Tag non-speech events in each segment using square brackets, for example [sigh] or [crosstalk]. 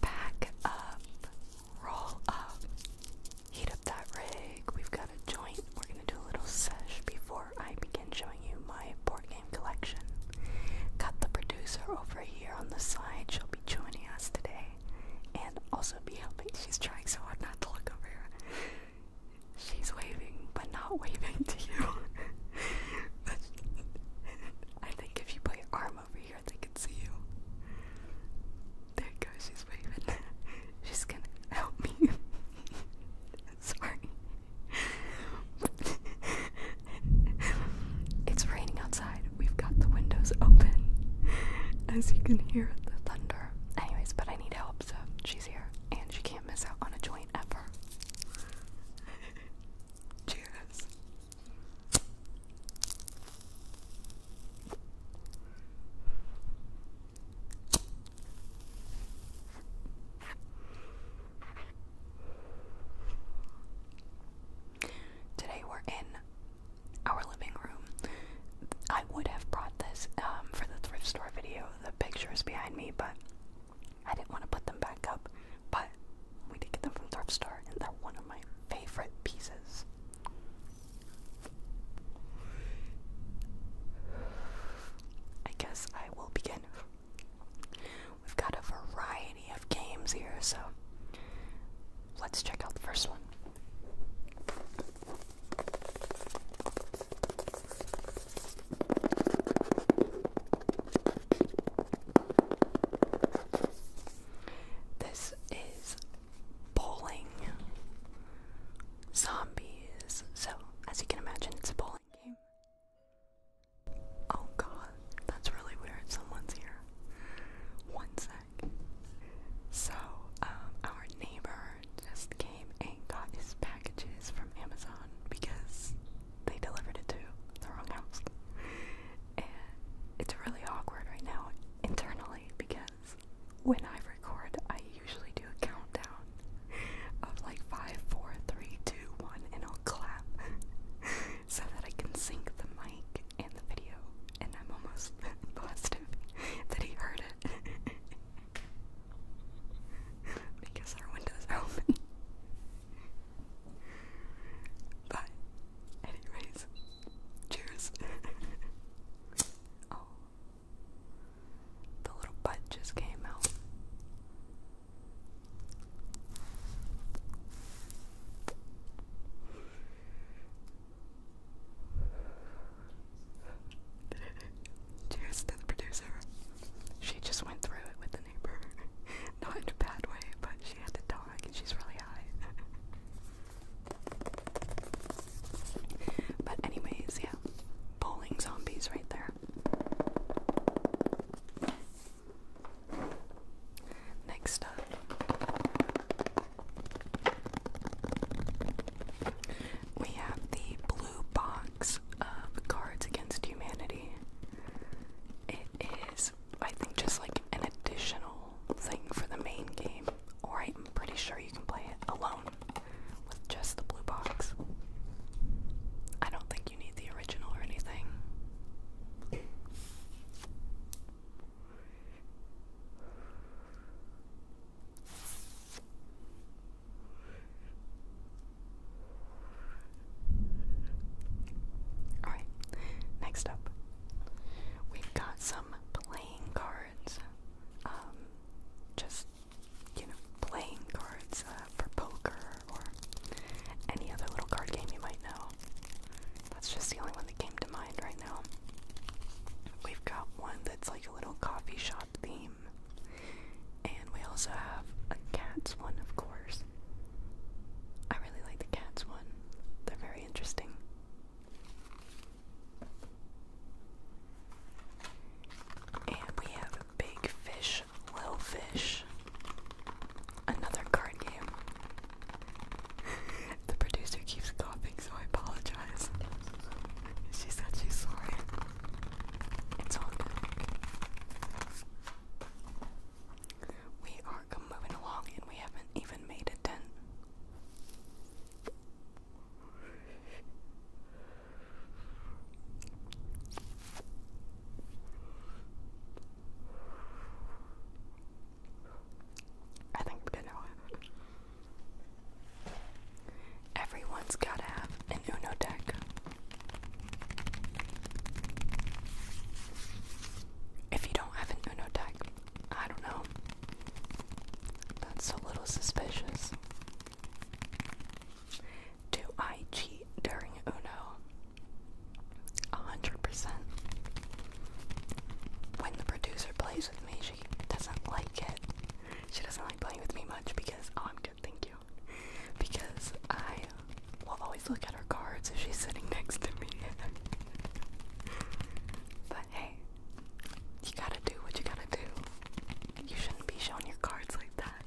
Back up, roll up, heat up that rig. We've got a joint. We're gonna do a little sesh before I begin showing you my board game collection. Got the producer over here on the side. She'll be joining us today, and also be helping. She's trying so hard not to look over here. She's waving, but not [laughs] waving to you. [laughs] I think if you put your arm over here, they can see you. There you go, she's waving. [laughs] She's gonna help me. [laughs] Sorry. it's raining outside. We've got the windows open. As you can hear the thunder. Anyways, but I need help, so she's here. And she can't miss out on a joint ever. Today we're in our living room. I would have brought this um, for the thrift store video, the picture is behind me, but I didn't want to put them back up, but we did get them from Thrift Store, and they're one of my favorite pieces. I guess I will begin. We've got a variety of games here, so let's check out the first one. This is bowling zombies. So, as you can imagine, it's a bowling game. Oh god, that's really weird. Someone's here. One sec. So, um, our neighbor just came and got his packages from Amazon because they delivered it to the wrong house. And it's really awkward right now internally because when I record, I usually do a countdown of like five, four, three, two, one, and I'll clap [laughs] so that I can sync the mic and the video. And I'm almost [laughs] positive that he heard it [laughs] because our windows open. But, anyways, cheers. [laughs] oh, the little butt just came out. [laughs] Cheers to the producer. She just went through it with neighbor. [laughs] Not in a bad way, but she had a dog and she's really high. [laughs] but anyways, yeah. Bowling zombies right there. Next up, we have the blue box of Cards Against Humanity is, I think, just like an additional thing for the main game, or I'm pretty sure you can play it alone with just the blue box. I don't think you need the original or anything. Alright, next up, we've got some playing cards. Um, just, you know, playing cards uh, for poker or any other little card game you might know. That's just the only one that came to mind right now. We've got one that's like a little coffee shop theme. And we also have a cat's one, of course. I really like the cats one. They're very interesting. And we have Big Fish, Little Fish. Another card game. [laughs] the producer keeps coughing, so I apologize. she said she's sorry. It's all we are moving along and we haven't even made a dent. I think we're gonna Everyone's gotta have an Uno deck. If you don't have an Uno deck, I don't know. That's a little suspicious. Do I cheat during Uno? A hundred percent. When the producer plays with me, she doesn't like it. She doesn't like playing with me much because oh, I'm good, thank you because I will always look at her cards if she's sitting next to me. [laughs] but hey, you gotta do what you gotta do. You shouldn't be showing your cards like that.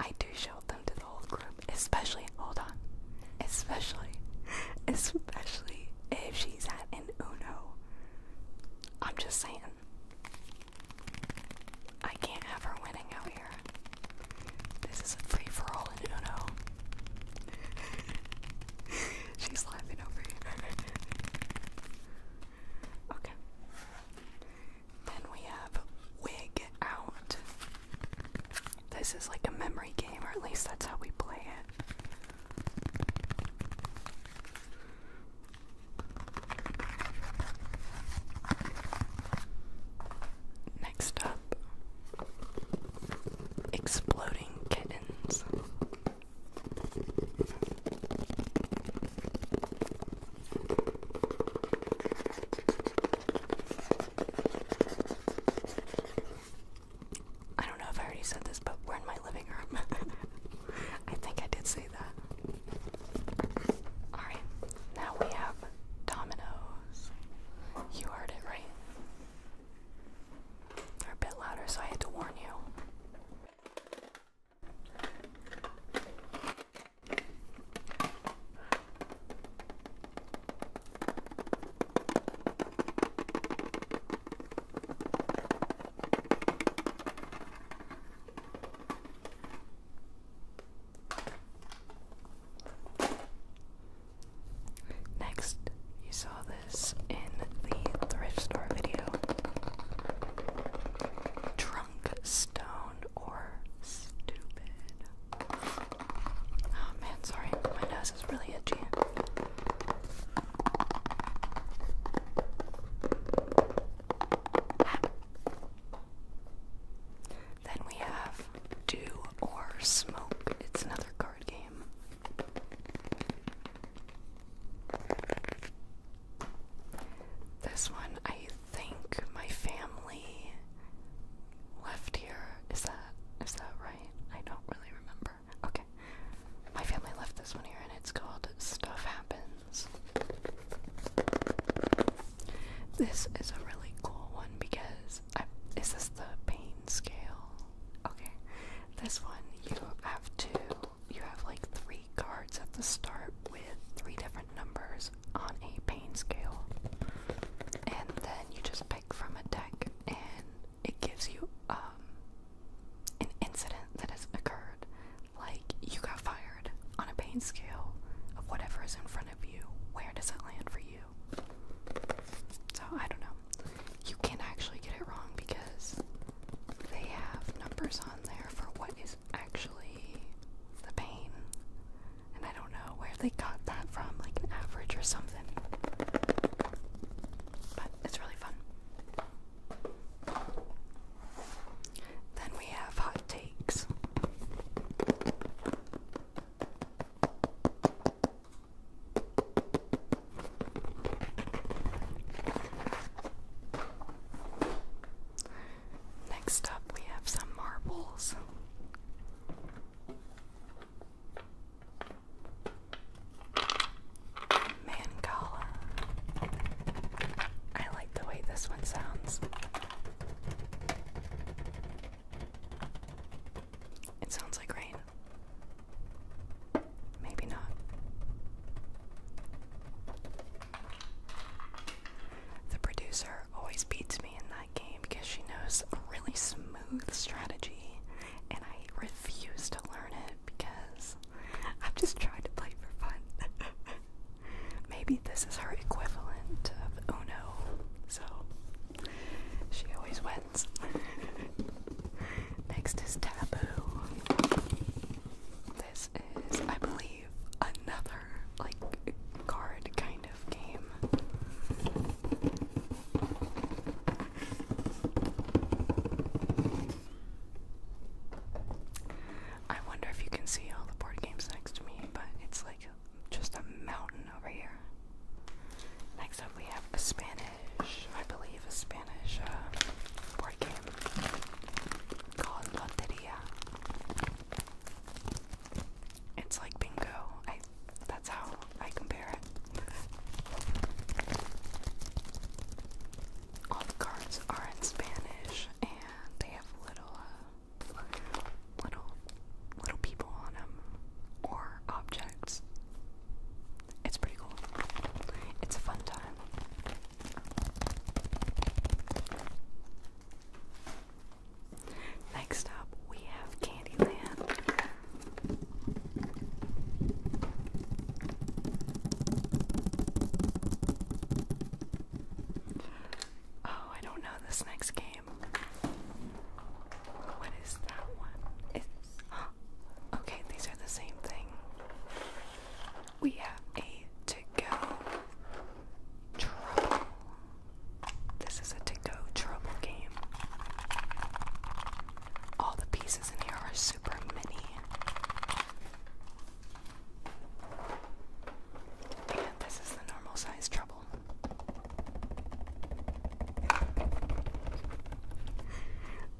I do show them to the whole group, especially, hold on, especially, [laughs] especially if she's at an Uno. I'm just saying, I can't have her winning out here. This is a free for all in Uno. [laughs] She's laughing over here. [laughs] okay. Then we have Wig Out. This is like a memory game, or at least that's how we play it. Next up, exploding kittens. I don't know if I already said this, but we're in my living room. [laughs] I think I did say Alright, now we have dominoes. You heard it right. They're a bit louder, so I had to warn you. Next, you saw this in the thrift store video. Drunk stone or stupid. Oh man, sorry, my nose is really itchy. Then we have Do or Smoke. It's another card game. This one, I think my family left here. Is that is that right? I don't really remember. Okay, my family left this one here, and it's called "Stuff Happens." This is a really cool one because I, is this the pain scale? Okay, this one you have to you have like three cards at the start with three different numbers on a pain scale, and then you just pick from a deck, and it gives you um an incident that has occurred like, you got fired on a pain scale of whatever is in front of you. Where does it land for you? So, I don't know. You can actually get it wrong because they have numbers on there for what is actually the pain. And I don't know where they got that from, like an average or something. But it's really fun. Then we have hot takes. Next up, we have some marbles. Mancala. I like the way this one sounds. It sounds like rain. Maybe not. The producer always beats me in that game because she knows a really smooth strategy, and I refuse to learn it because I've just tried to play for fun. [laughs] Maybe this is her equivalent of Oh No, so she always wins. [laughs] Next is Taboo. This is, I believe, another like card kind of game. I wonder if you can see all the board games next to me, but it's like just a mountain over here. Next up, we have a Spanish, I believe, a Spanish uh, board game called Loteria. It's like bingo. I, that's how I compare it all the cards are in Spanish and they have little uh, little little people on them or objects. It's pretty cool. It's a fun time. Next up, we have Candyland. Oh, I don't know this next game. What is that one? It's. [gasps] okay, these are the same thing. We have eight to go trouble. This is a to go trouble game. All the pieces in here are super mini. And this is the normal size trouble.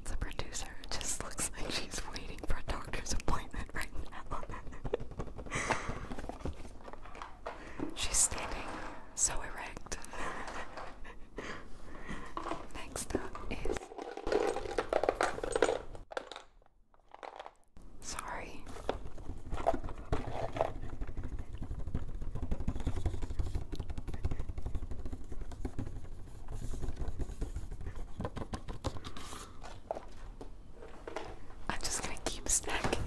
the producer just looks like she's waiting for a doctor's appointment right now. she's standing so erect. Next up is Sorry. I'm just gonna keep stacking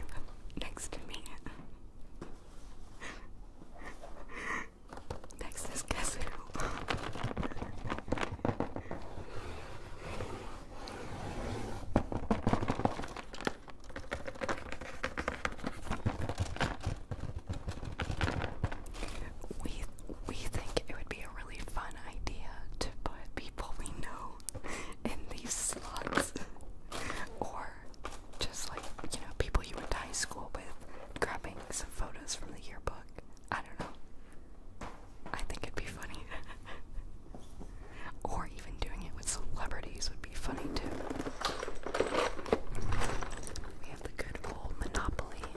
next to me. [laughs] Next is Kazoo. We we think it would be a really fun idea to put people we know [laughs] in these slots. or just like, you know, people you went to high school with grabbing some photos from the yearbook. I don't know. I think it'd be funny. [laughs] or even doing it with celebrities would be funny too. We have the good old Monopoly.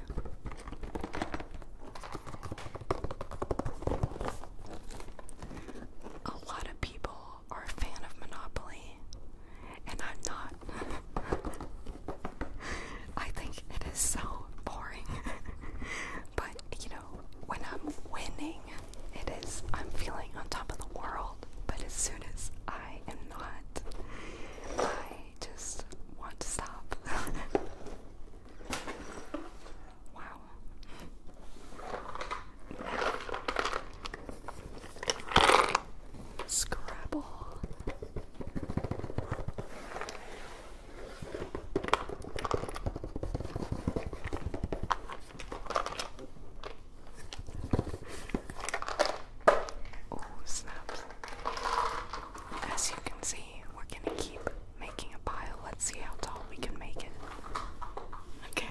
A lot of people are a fan of Monopoly, and I'm not. [laughs] I think it is so boring. [laughs] but you know, when I'm winning, it is I'm feeling on top of the world. But as soon as I am not, I just want to stop. [laughs] wow. Scrabble. Oh, snaps. As you can see, we're gonna keep making a pile. Let's see how tall we can make it. Okay.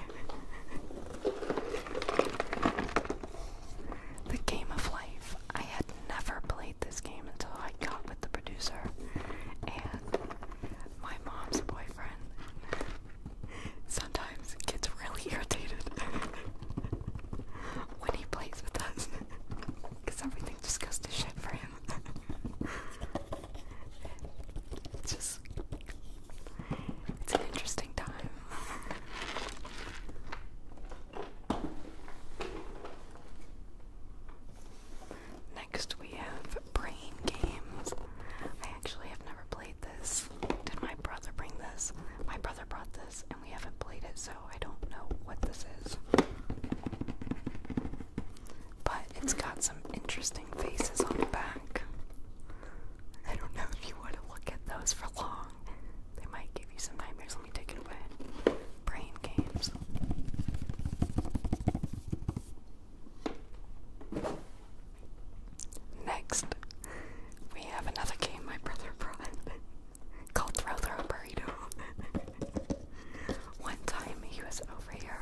the game of life. I had never played this game until I got with the producer and my mom's boyfriend [laughs] sometimes gets really irritated [laughs] when he plays with us because [laughs] everything just goes to shit for him. it's just it's an interesting time. Next we have Brain Games. I actually have never played this. Did my brother bring this? My brother brought this and we haven't played it, so I don't know what this is. But it's got some interesting faces on the back. I don't know if you want to look at those for long. They might give you some nightmares. Let me take it away brain games. Next, we have another game my brother brought [laughs] called Throw Throw Burrito. [laughs] One time he was over here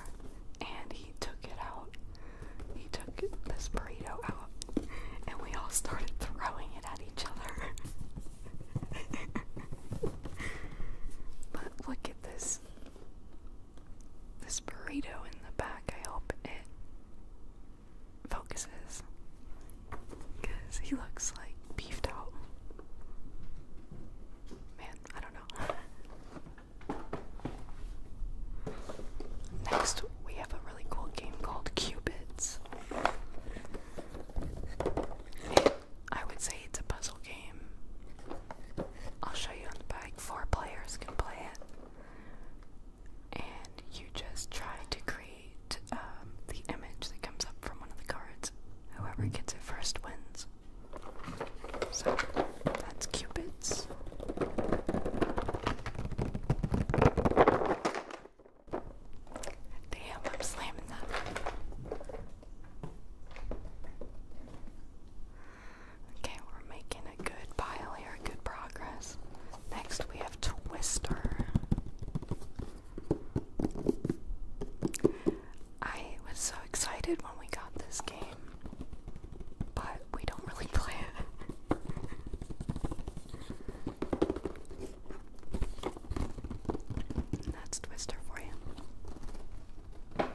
and he took it out. He took this burrito out and we all started throwing it at each other. [laughs] [laughs] but look at this. This burrito in the back, I hope it focuses. Because he looks like beefed out. Man, I don't know. Next, we have a really cool game called Cupids. I would say it's a puzzle game. I'll show you on the back. Four players can play it. And you just try to create um, the image that comes up from one of the cards. Whoever gets it first wins. So that's Cupid's. Damn, I'm slamming that. Okay, we're making a good pile here, good progress. Next, we have Twister. I was so excited when we got this game, but we don't really [laughs] play it that's Twister for you.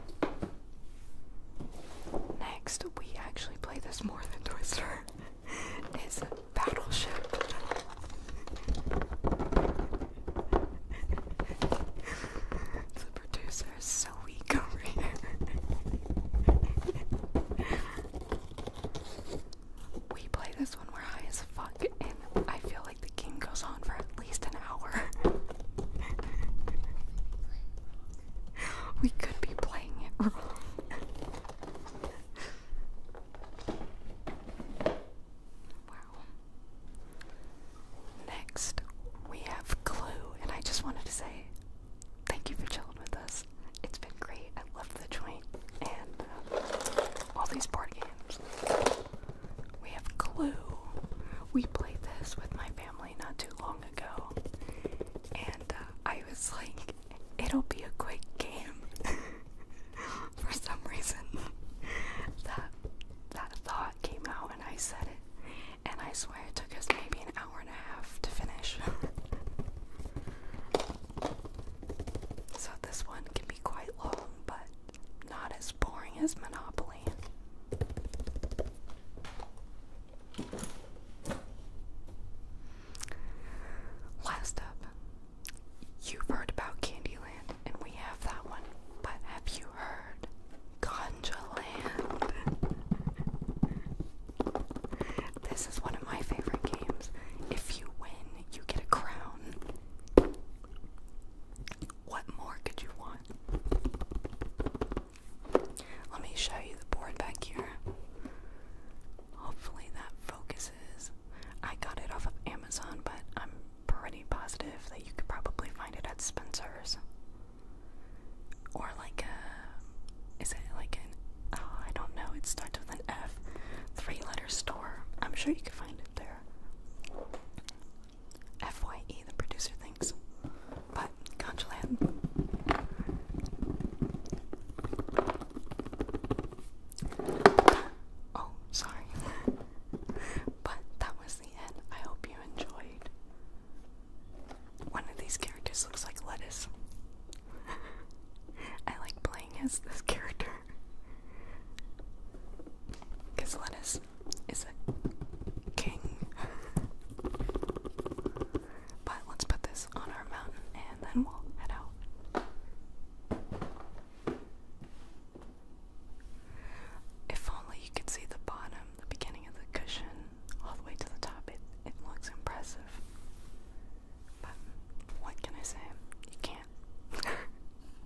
Next, we actually play this more than Twister. Is [laughs] Battleship. [laughs] the producer is so weak over here. [laughs] we play this when we're high as fuck, and I feel the game goes on for at least an hour. we could be playing wow. Next, we have Clue, and I just wanted to say thank you for chilling with us. It's been great. I love the joint and uh, all these board games. We have Clue. We played this with my family not too long ago, and uh, I was like, it'll be a quick game. [laughs] For some reason, that that thought came out, and I said it, and I swear it took us maybe an hour and a half to finish. [laughs] so this one can be quite long, but not as boring as Monopoly. Last up, you've heard about Candyland, and we have that one, but have you heard Conjaland? [laughs] this is one of my favorite games. If you win, you get a crown. What more could you want? Let me show you the board back here. Hopefully that focuses. I got it off of Amazon, but I'm pretty positive that you could probably find it at Spencer's. Or like a, is it like an, oh, I don't know, it starts with an F, three letter store. I'm sure you could find it there. FYE, the producer thinks. But Conchaland. Oh, sorry. [laughs] but that was the end. I hope you enjoyed. One of these characters looks like lettuce. [laughs] I like playing as this character. Because lettuce is a king. but let's put this on our mountain and then we'll head out. If only you could see the bottom, the beginning of the cushion, all the way to the top, it, it looks impressive. But what can I say? You can't. [laughs]